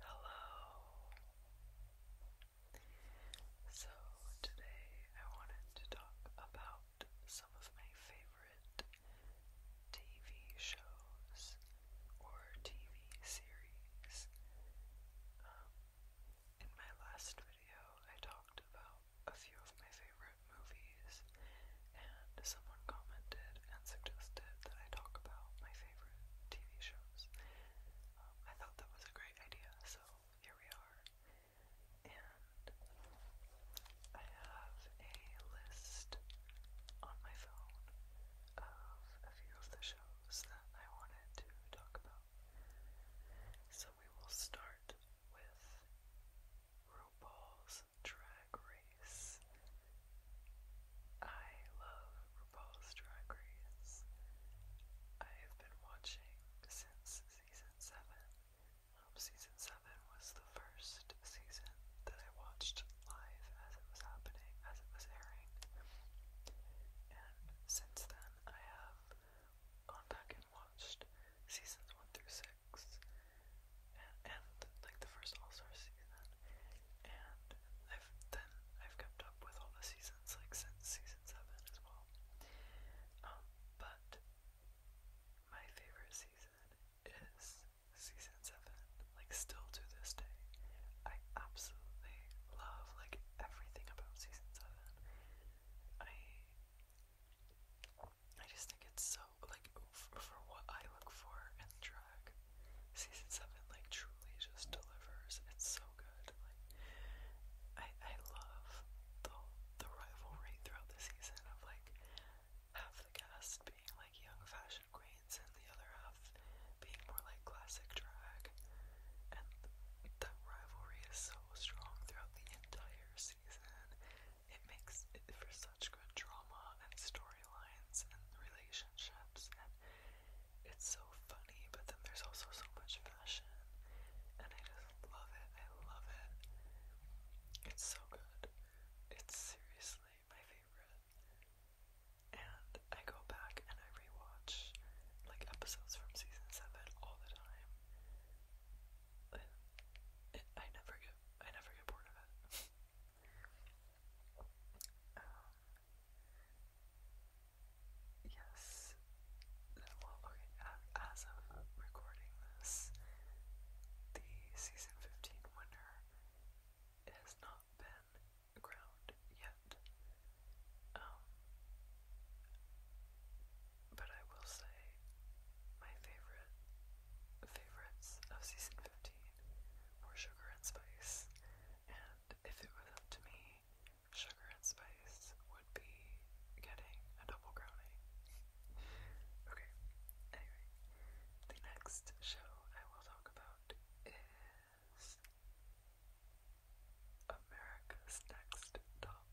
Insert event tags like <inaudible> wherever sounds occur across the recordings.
Hello. So today I wanted to talk about some of my favorite TV shows or TV series. Um, in my last video, I talked about a few of my favorite movies, and someone commented and suggested that I talk about my favorite TV shows. Um, I thought that was a great idea, so here we are. And I have a list on my phone of a few of the shows that I wanted to talk about. So we will start with RuPaul's Drag Race I love RuPaul's Drag Race. I have been watching since season 7. Um, season 7 was the first season that I watched live as it was happening, as it was airing. And since then, I have gone back and watched seasons 1 through 6. And, and like the first All Star season, and I've then I've kept up with all the seasons like since season seven as well. Um, but my favorite season is season seven. Like still to this day, I absolutely love like everything about season seven. I I just think it's so like for what I look for in drama Season seven like truly just delivers. It's so good. Like I I love the the rivalry throughout the season of like half the cast being like young fashion queens and the other half being more like classic drag. And that rivalry is so strong throughout the entire season. It makes for such good drama and storylines and relationships and it's so funny, but then there's also so much fashion, and I just love it. I love it. It's so good. It's seriously my favorite. And I go back and I rewatch like episodes from season seven all the time. I never get I never get bored of it. <laughs> Oh. yes. Well, okay, as of recording this, the season 15 winner has not been ground yet. Um, but I will say my favorite favorites of season 15 were Sugar and Spice and if it was up to me, sugar and spice would be getting a double crowning. okay, anyway, the next show I will talk about is America's Next Top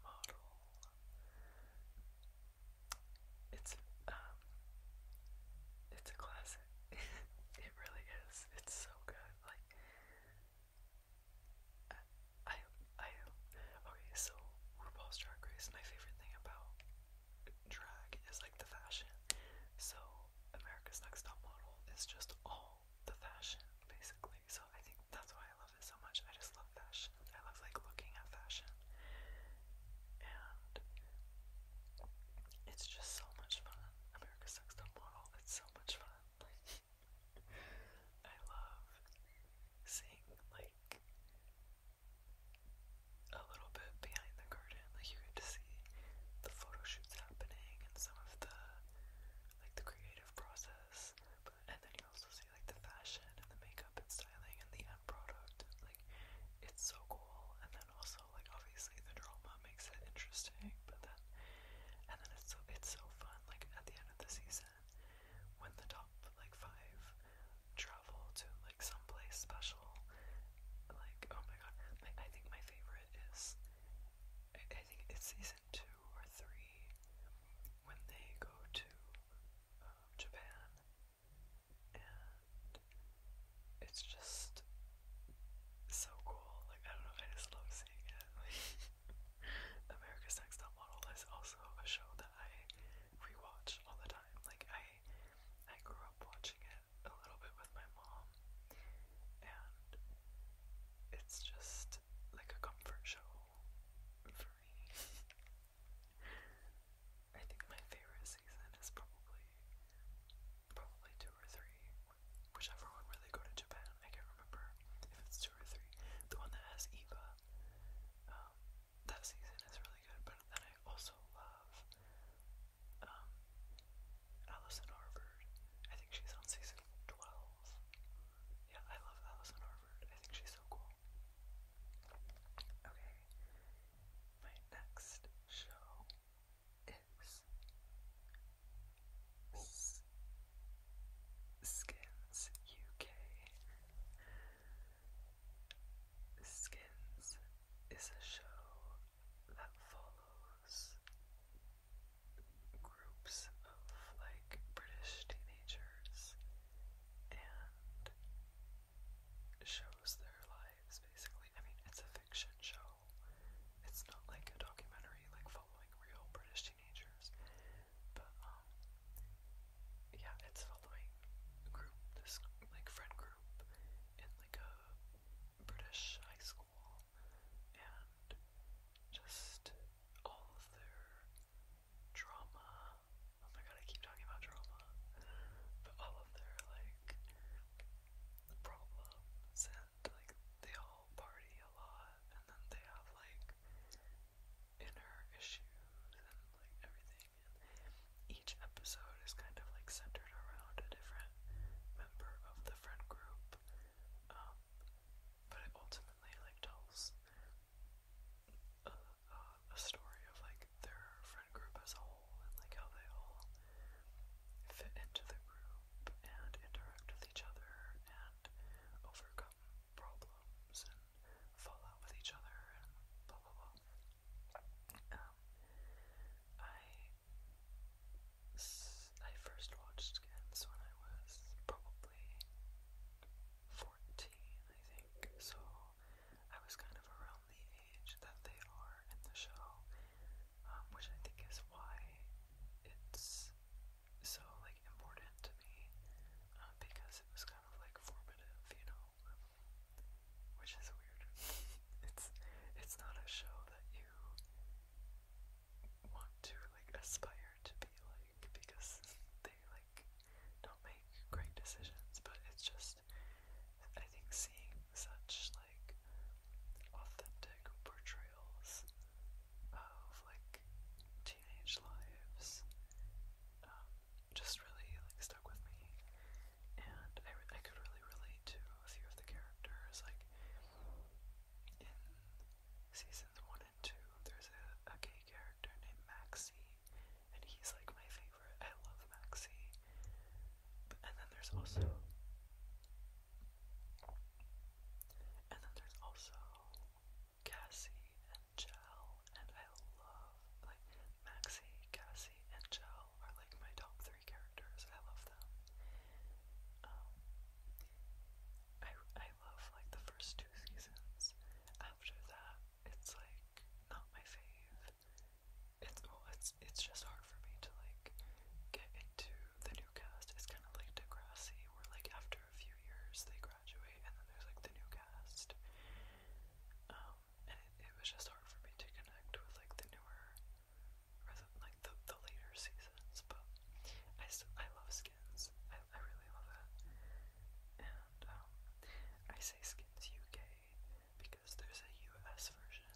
Model. It's um it's a classic. <laughs> it really is it's so good. Like I I okay. So RuPaul's Drag Race. My favorite thing about drag is like the fashion. So America's Next Top Model is just all the fashion basically. So I think that's why I love it so much. I just love fashion. I love like looking at fashion. And it's just so much fun. America's Next Top bottle. It's so much fun. Like, I love seeing like a little bit behind the curtain. Like you get to see the photo shoots happening and some of the like the creative process. But and then you also see like the fashion and the makeup and styling and the end product. Like it's so cool. And then also like obviously the drama makes it interesting, but then and then it's so it's so fun. Like at the end of the season, when the top like five travel to like some place special, like oh my god, I think my favorite is I, think it's season two or three when they go to um, Japan and it's just so cool. Like, I don't know, I just love seeing it. <laughs> America's Next Top Model is also a show that I rewatch all the time. Like, I I grew up watching it a little bit with my mom, and it's just like a comfort show for me. <laughs> I think my favorite season is probably probably two or three whichever one where they go to Japan. I can't remember if it's two or three. The one that has Eva. Um, that season is really good. But then I also love um, Allison Harvard. I think she's on season twelve. Yeah, I love Allison Harvard. I think she's so cool. Okay, my next show is Skins UK. Skins is a show that follows groups of like British teenagers and shows their lives basically. I mean, it's a fiction show, it's not like a documentary like following real British teenagers, but um, yeah, it's following a group, this like friend group in like a British high school, and just all of their drama. Oh my god, I keep talking about drama, but all of their like problems and like they all party a lot and then they have like inner issues and like everything and each episode is kind of like centered around a different member of the friend group. Um, but ultimately like tells a story of like their friend group as a whole and like how they all fit into the group and interact with each other and overcome problems and fall out with each other and blah blah blah. Um, I, I first watched Skins when I was probably 14, I think, so I was kind of around the age that they are in the show um, which I think is why it's so like important to me uh, because it was kind of like formative, you know, which is weird. <laughs> it's it's not a show that you want to like aspire to be like because they like don't make great decisions, but it's just I think seeing such like like authentic portrayals of like teenage lives um, just really like stuck with me and I, I could really relate to a few of the characters like in seasons 1 and 2 there's a, a gay character named Maxie and he's like my favorite I love Maxie and then there's also and then there's also Cassie and Gel, and I love like Maxie, Cassie, and Gel are like my top three characters. I love them. Um, I I love like the first two seasons. After that, it's like not my fave. It's oh, it's it's just hard for me to like get into the new cast. It's kind of like Degrassi, where like after a few years they graduate and then there's like the new cast. Um, and it, it was just hard for me to connect with like the newer, or the, like the the later seasons. But I still I love Skins. I I really love it. And um, I say Skins UK because there's a US version.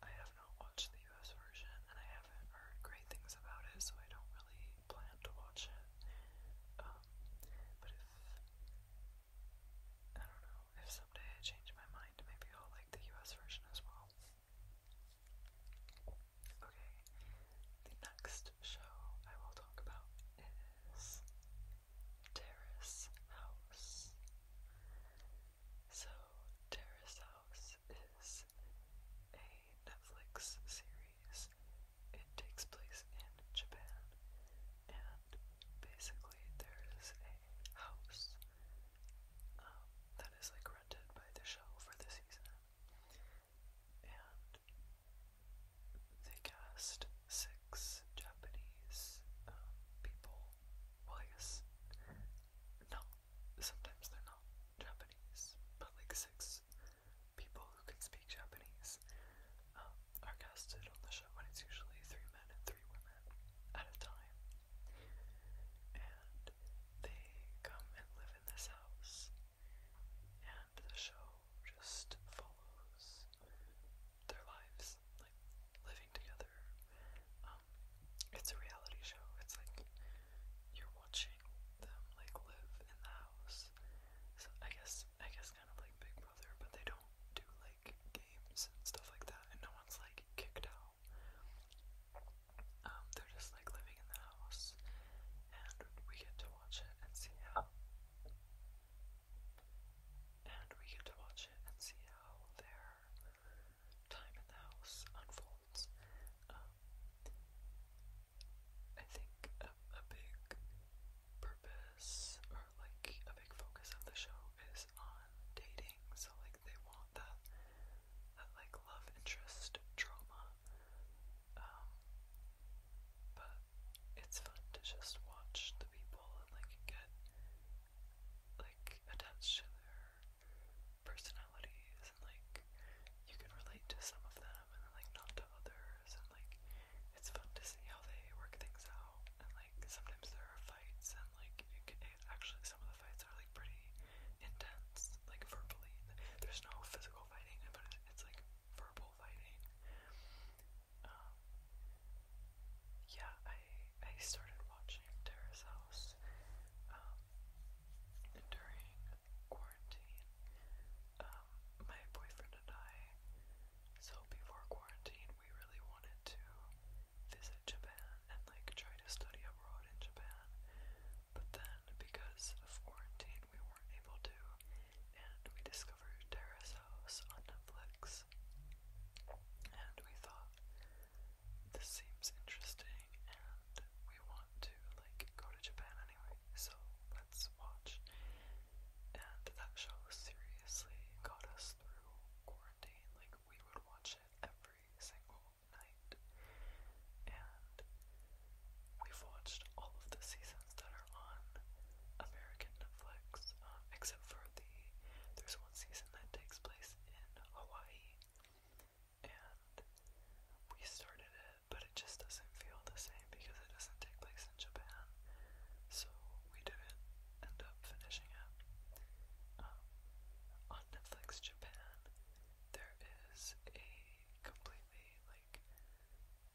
I have not watched the US version and I haven't heard great things about it, so I don't really plan to watch it. Um, but if I don't know, if someday I change my mind, maybe I'll like the US version as well. Okay, the next show I will talk about is Terrace House. So, Terrace House is a Netflix series. It takes place in Japan, and basically, there is a house um, that is like rented by the show for the season, and they cast six Japanese um, people. Well, I guess. No, sometimes they're not Japanese, but like six people who can speak Japanese um, are casted on the show, and it's usually three men and three women at a time. And they come and live in this house, and the show just follows their lives, like living together. Um, it's a reality show. It's like you're watching them like live in the house. So I guess I guess kind of like Big Brother, but they don't do like games and stuff like that, and no one's like kicked out. Um, they're just like living in the house, and we get to watch it and see how. And we get to watch it and see how their time in the house unfolds. Um, I think a, big purpose or like a big focus of the show is on dating. So like they want that that like love interest drama. Um, but it's fun to just watch the people and like get like attached to their personalities and like you can relate to some of them and like not to others and like it's fun to see how they work things out and like sometimes there are fights and like you can it, actually some of the fights are like pretty intense like verbally there's no physical fighting but it, it's like verbal fighting um yeah I I started watching Terrace House um during quarantine. Um, my boyfriend and I, so before quarantine, we really wanted to visit Japan and like try to study abroad in Japan. But then, because of quarantine, we weren't able to, and we discovered Terrace House on Netflix. And we thought, this seems interesting, we want to like go to Japan anyway, so let's watch. And that show seriously got us through quarantine. Like we would watch it every single night. And we've watched all of the seasons that are on American Netflix, um, except for the there's one season that takes place in Hawaii and we started it, but it just doesn't feel the same because it doesn't take place in Japan, so we didn't end up finishing it. Um, on Netflix Japan, there is a completely like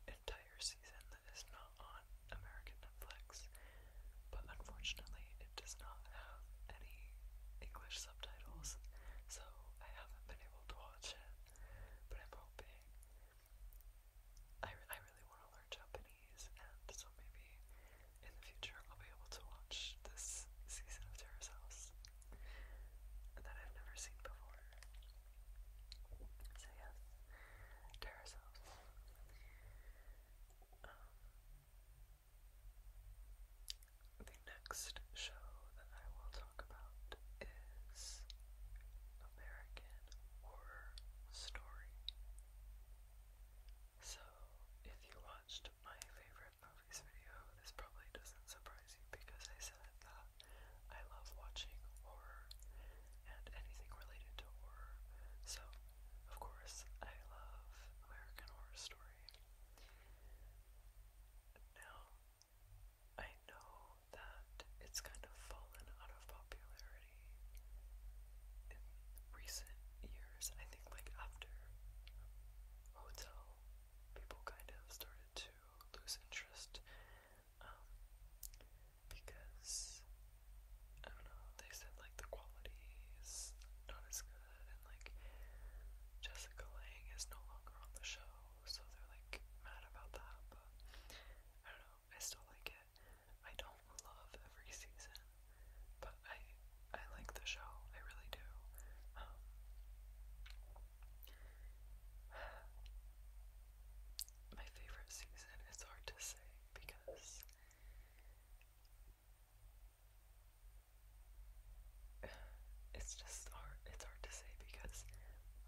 entire season that is not on American Netflix, but unfortunately, it does not have any English subtitles, so I haven't been able to watch it, but I'm hoping. I, I really want to learn Japanese, and so maybe in the future I'll be able to watch this season of Terrace House that I've never seen before. So, yes, Terrace House. Um, the next show that I will talk about is American Horror Story. So, if you watched my favorite movies video, this probably doesn't surprise you because I said that I love watching horror and anything related to horror. So, of course, I love American Horror Story. Now, I know that it's kind of fallen out of popularity in recent years. I think, like, after Hotel, people kind of started to lose interest um, because, I don't know, they said, like, the quality is not as good and like Jessica Lang is no longer on the show, so they're like mad about that, but I don't know, I still like it. I don't love every season, but I I like the show, I really do. Um, my favorite season is hard to say because it's just hard it's hard to say because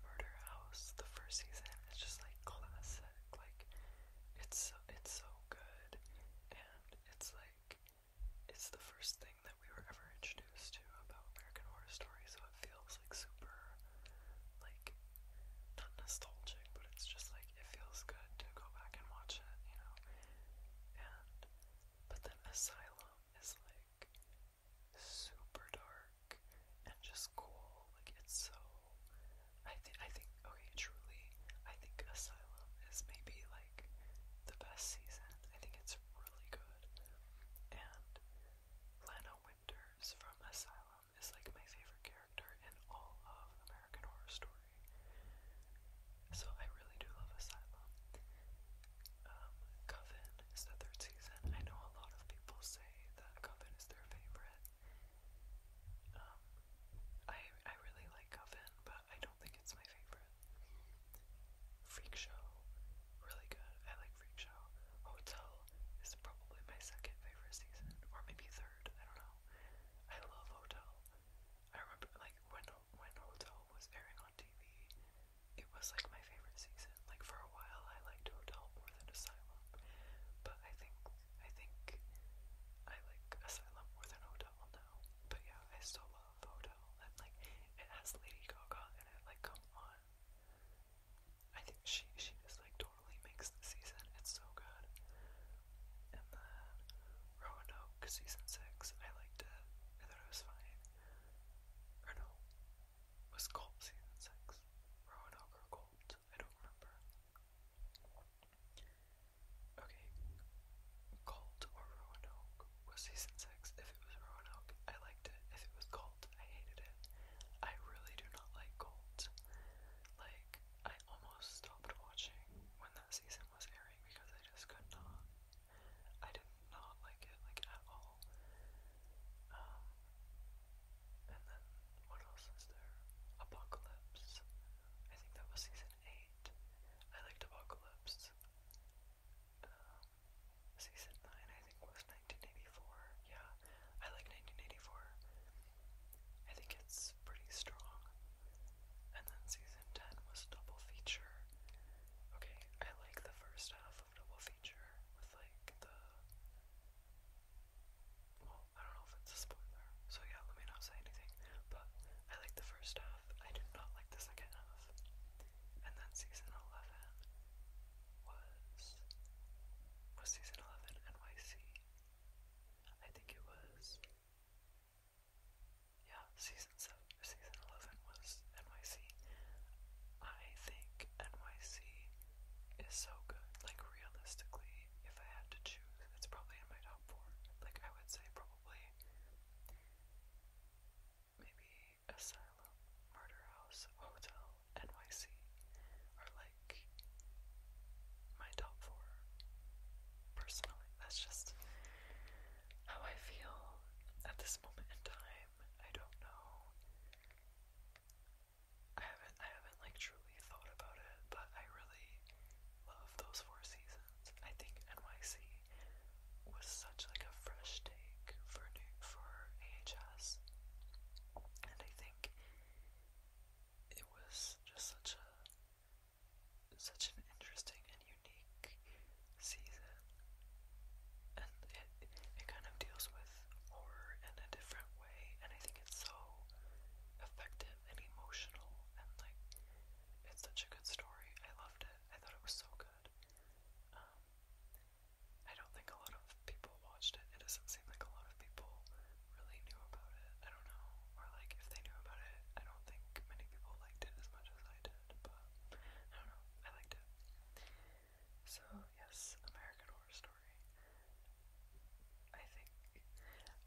Murder House, the first season, is just like classic. Like it's so it's so good and it's like it's the first thing that we were ever introduced to about American Horror Story, so it feels like super like not nostalgic, but it's just like it feels good to go back and watch it, you know. And but then Asylum is like super dark and just cool. Like it's so I think I think okay, truly, I think Asylum is maybe like the best season. I think it's really good. And Lana Winters from Asylum is like my favorite character in all of American Horror Story. So I really do love Asylum. Um, Coven is the third season. I know a lot of people say that Coven is their favorite. Um, I I really like Coven, but I don't think it's my favorite. Freak Show, really good. I like Freak Show. Hotel is probably my second favorite season, or maybe third. I don't know. I love Hotel. I remember like when when Hotel was airing on TV, it was like my favorite season. Like for a while, I liked Hotel more than Asylum, but I think I think I like Asylum more than Hotel now. But yeah, I still love Hotel, and like it has Lady Gaga in it. Like come on, I think she she just like totally makes the season. It's so good. And the Roanoke season six, I liked it. I thought it was fine. Or no, was Colt season six? Roanoke or Colt? I don't remember. Okay, Colt or Roanoke was season six. If it was Roanoke, I liked it. If it was Colt, I hated it. I really do not like Colt. Like, I almost stopped watching when that season was airing because I just could not I did not like it, like, at all. Um, and then, what else is there? Apocalypse. I think that was season 8. I liked Apocalypse. Um, season 9, I think, was 1984. Yeah, I like 1984. I think it's pretty strong. And then season 10 was double feature. Okay, I like the first half downloadable feature with like the well, I don't know if it's a spoiler, so yeah, let me not say anything. But I like the first half, I did not like the second half. And then season 11 was. Was season 11 NYC? I think it was. Yeah, season 7 season 11 was NYC. I think NYC is so good. Like, realistically, if I had to choose, it's probably in my top four. Like, I would say probably maybe Asylum, Murder House, Hotel, NYC are like my top four. Personally, that's just how I feel at this moment in time time. I don't know. I haven't I haven't like truly thought about it, but I really love those four seasons. I think NYC was such like a fresh take for new for AHS. And I think it was just such a such an interesting and unique season. And it, it kind of deals with horror in a different way, and I think it's so effective and emotional, and like it's such a good story. I loved it. I thought it was so good. Um, I don't think a lot of people watched it. It doesn't seem like a lot of people really knew about it. I don't know, or like if they knew about it, I don't think many people liked it as much as I did. But I don't know. I liked it. So yes, American Horror Story. I think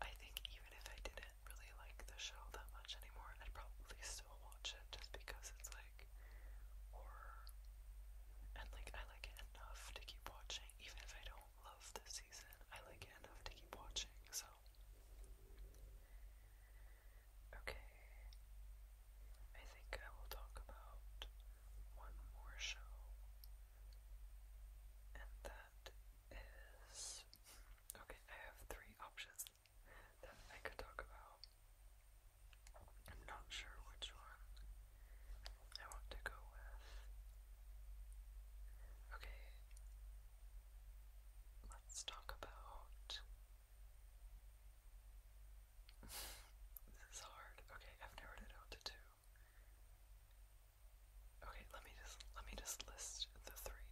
I think even if I didn't really like the show that much anymore, I'd probably still watch it just because it's like horror. And like I like it enough to keep watching. Even if I don't love this season, I like it enough to keep watching, so Okay. I think I will talk about one more show, and that is. Okay, I have three options that I could talk about. I'm not sure which one I want to go with. Okay, let's talk about this is hard. Okay, I've narrowed it out to two. Okay, let me just let me just list the three.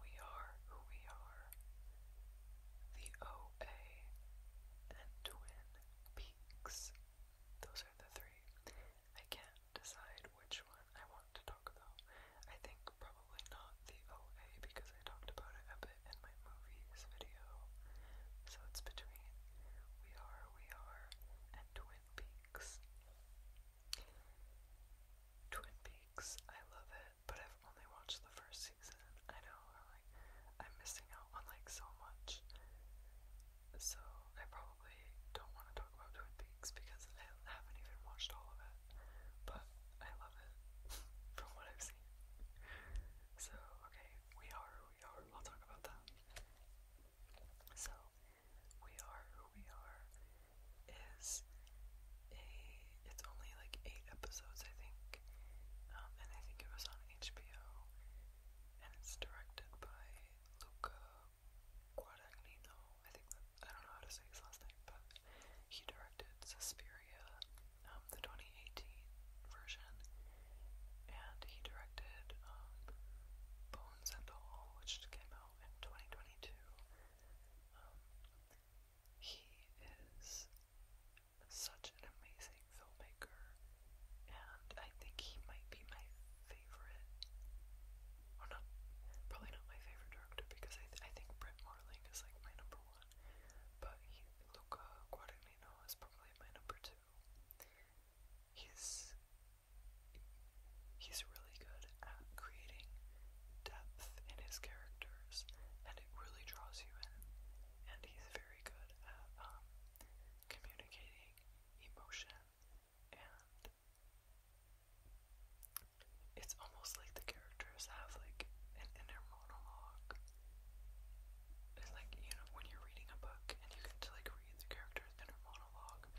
We are who we are. The OA and Twin Peaks. Those are the three. I can't decide which one I want to talk about. I think probably probably not the OA because I talked about it a bit in my movies video. So it's between We Are, We Are, and Twin Peaks. Twin Peaks, I love it, but I've only watched the first season. I know, am like, I'm missing out on like so much. So I probably don't want to talk about Twin Peaks because I haven't even watched all of it. But I love it <laughs> from what I've seen. So, okay, we are who we are. I'll talk about that. So, we are who we are is a. It's only like eight episodes, I think. Um, and I think it was on HBO. And it's directed by Luca Guadagnino. I think that. I don't know how to say his last name, but he directed Suspiria, um, the 2018 version, and he directed um, Bones and All, which came out in 2022. Um, he is such an amazing filmmaker, and I think he might be my favorite. Well, not probably not my favorite director because I, I think Brett Marling is like my number one but he, Luca Guadagnino is probably my number two. He's he's really good at creating depth in his characters, and it really draws you in. And he's very good at um, communicating emotion, and it's almost like the characters have like an inner monologue it's like, you know, when you're reading a book and you get to like read the character's inner monologue,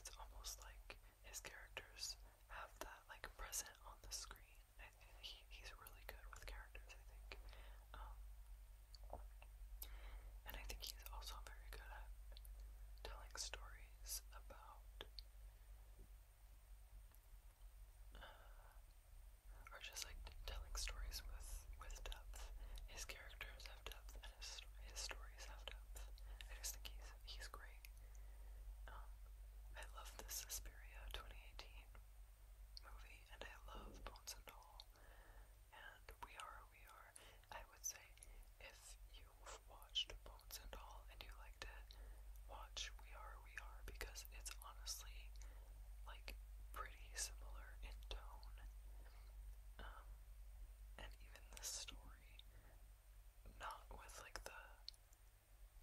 it's almost like his characters have that like present on the screen. I, he, he's really good with characters, I think. Um, and I think he's also very good at telling stories about are just like telling stories with with depth. His characters have depth, and his his stories have depth. I just think he's he's great. Um, I love the Suspiria 2018 movie, and I love Bones and All, and We Are We Are. I would say if you've watched Bones and All and you liked it, watch We Are we are because it's honestly like pretty similar in tone. Um, and even the story, not with like the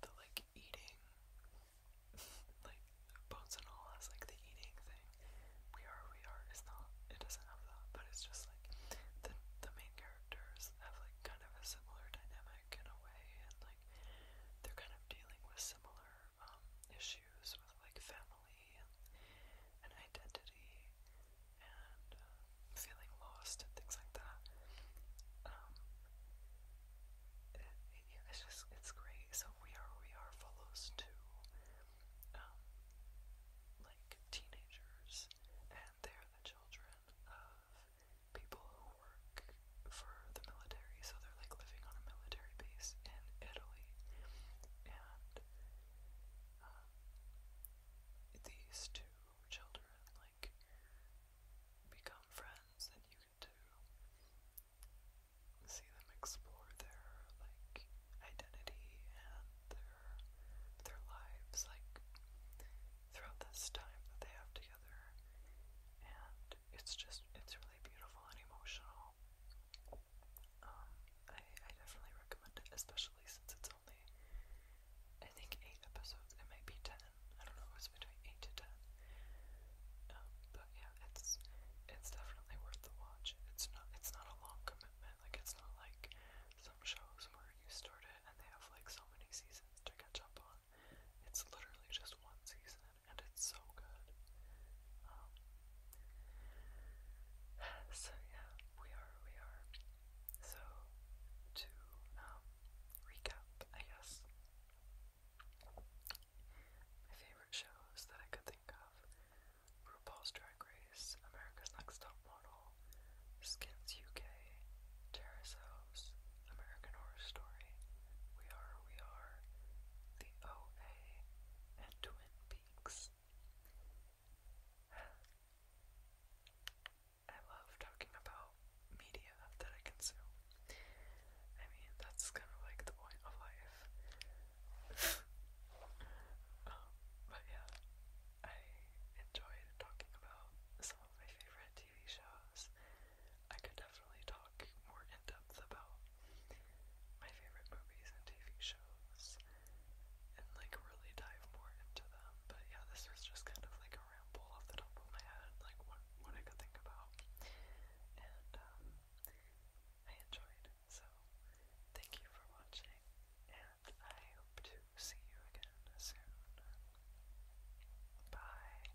the like eating, <laughs> like boats and all has like the eating thing. We are, we are. It's not. It doesn't have that, but it's just like the the main characters have like kind of a similar dynamic in a way, and like they're kind of dealing with similar um, issues with like family and, and identity and uh, feeling lost and things like that. Um, it, it, yeah, it's just it's great. So we are we are follows to um, like teenagers, and they're the children of people who work for the military, so they're like living on a military base in Italy. And um, these two children like become friends, and you get to see them explore their like identity and their their lives like throughout this time that they have together and it's just it's really beautiful and emotional. Um, I, definitely recommend it, especially since it's only, I think, 8 episodes. It might be 10. I don't know, it's between 8 to 10. Um, but yeah, it's it's definitely worth the watch. It's not it's not a long commitment. Like, it's not like some shows where you start it and they have, like, so many seasons to catch up on. It's literally just one season, and it's so good. Um, <sighs> so yeah, we are, we are. So to um, recap, I guess my favorite shows that I could think of: RuPaul's Drag Race, America's Next Top Model, Skins UK, Terrace House. American Horror Story, We Are, We Are, The OA, and Twin Peaks. <sighs> I love talking about media that I consume. I mean, that's kind of like the point of life. <laughs> Um, but yeah, I enjoyed talking about some of my favorite TV shows I could definitely talk more in depth about my favorite movies and TV shows and like really dive more into them. But yeah, this was just kind of like a ramble off the top of my head, like what what I could think about. And um, I enjoyed. So thank you for watching and I hope to see you again soon. Bye.